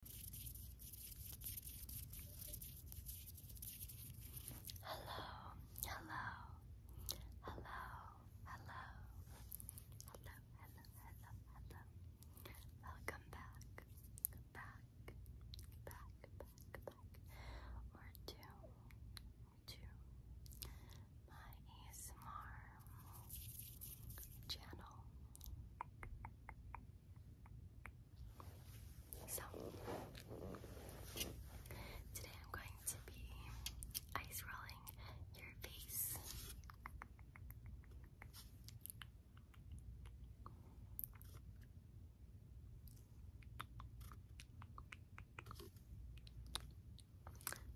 Hello, hello, hello, hello, hello, hello, hello, hello. Welcome back, back, back, back, back, or to, to my ASMR channel. So, today I'm going to be ice rolling your face.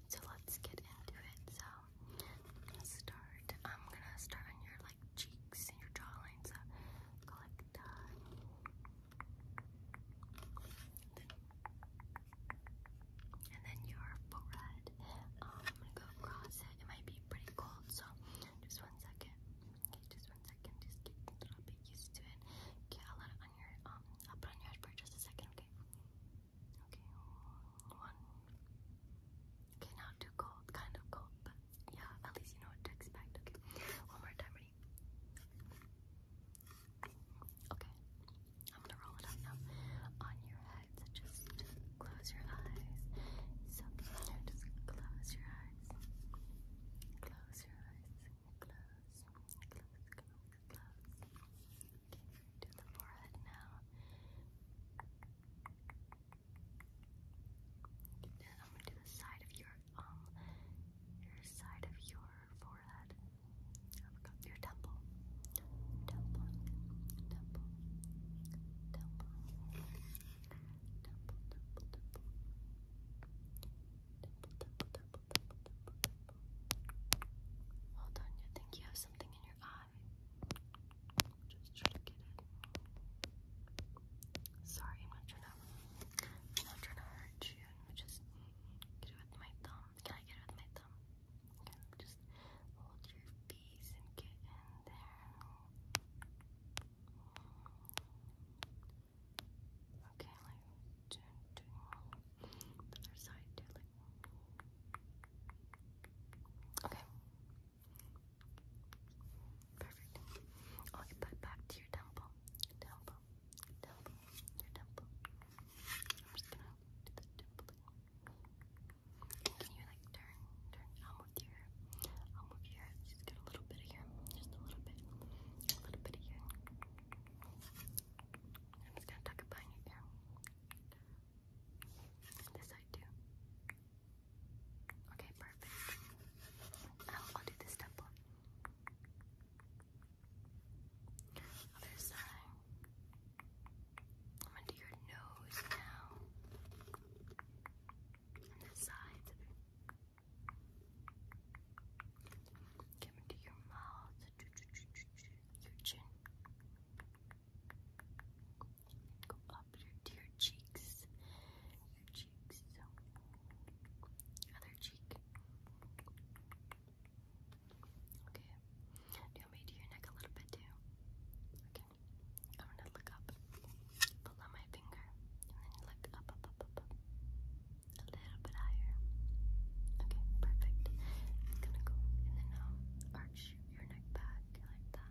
So let's get into it. So start. I'm gonna start on your like cheeks and your jawline. So and then your forehead. I'm gonna go across it. It might be pretty cold, so just one second. Okay, just one second. Just get a little bit used to it. Okay, I'll on your um. I'll put on your head just a second. Okay. Okay. One, Okay, not too cold, kind of cold, but yeah, at least you know what to expect. one more time, ready? Okay, I'm gonna roll it up now on your head. just, just close your eyes. So just close your eyes. Close your eyes. Close, close, close, Okay, do the forehead now. I'm gonna do the side of your um your side of your forehead. I forgot your temple. Temple. Temple. Temple. Temple temple temple. Temple temple temple temple temple temple. Well done, you think you have something in your eye. Just try to get it. Sorry, I'm not trying to. I'm not trying to hurt you. just get it with my thumb. Can I get it with my thumb? Okay, just hold your face and get in there. Okay, like the other side too, Okay. Perfect. I'll get back to your temple. Temple. Temple. Your temple. I'm just gonna do the temple. Can you like turn, turn? I'll move your I'll move your Just get a little bit of here. Just a little bit. A little bit of here. I'm just gonna tuck it behind your This side too. Okay, perfect. I'll, do this temple. Other side. I'm gonna do your nose now. And the sides. I'm gonna do your mouth, your chin, Go up your, to cheeks. Your cheeks. other cheek. Okay. Do you want me to your neck a little bit too? Okay. I'm gonna look up. Pull on my finger. And then look up, up, up, up, up. A little bit higher. Okay, perfect. I'm gonna go and then um arch your neck back like that.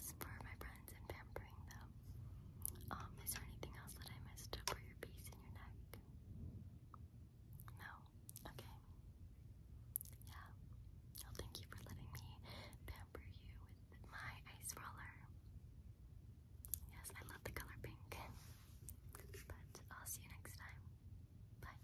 for my friends and pampering them. Um, is there anything else that I missed for your piece and your neck? No? Okay. Yeah. Well, thank you for letting me pamper you with my ice roller. Yes, I love the color pink. But I'll see you next time. Bye.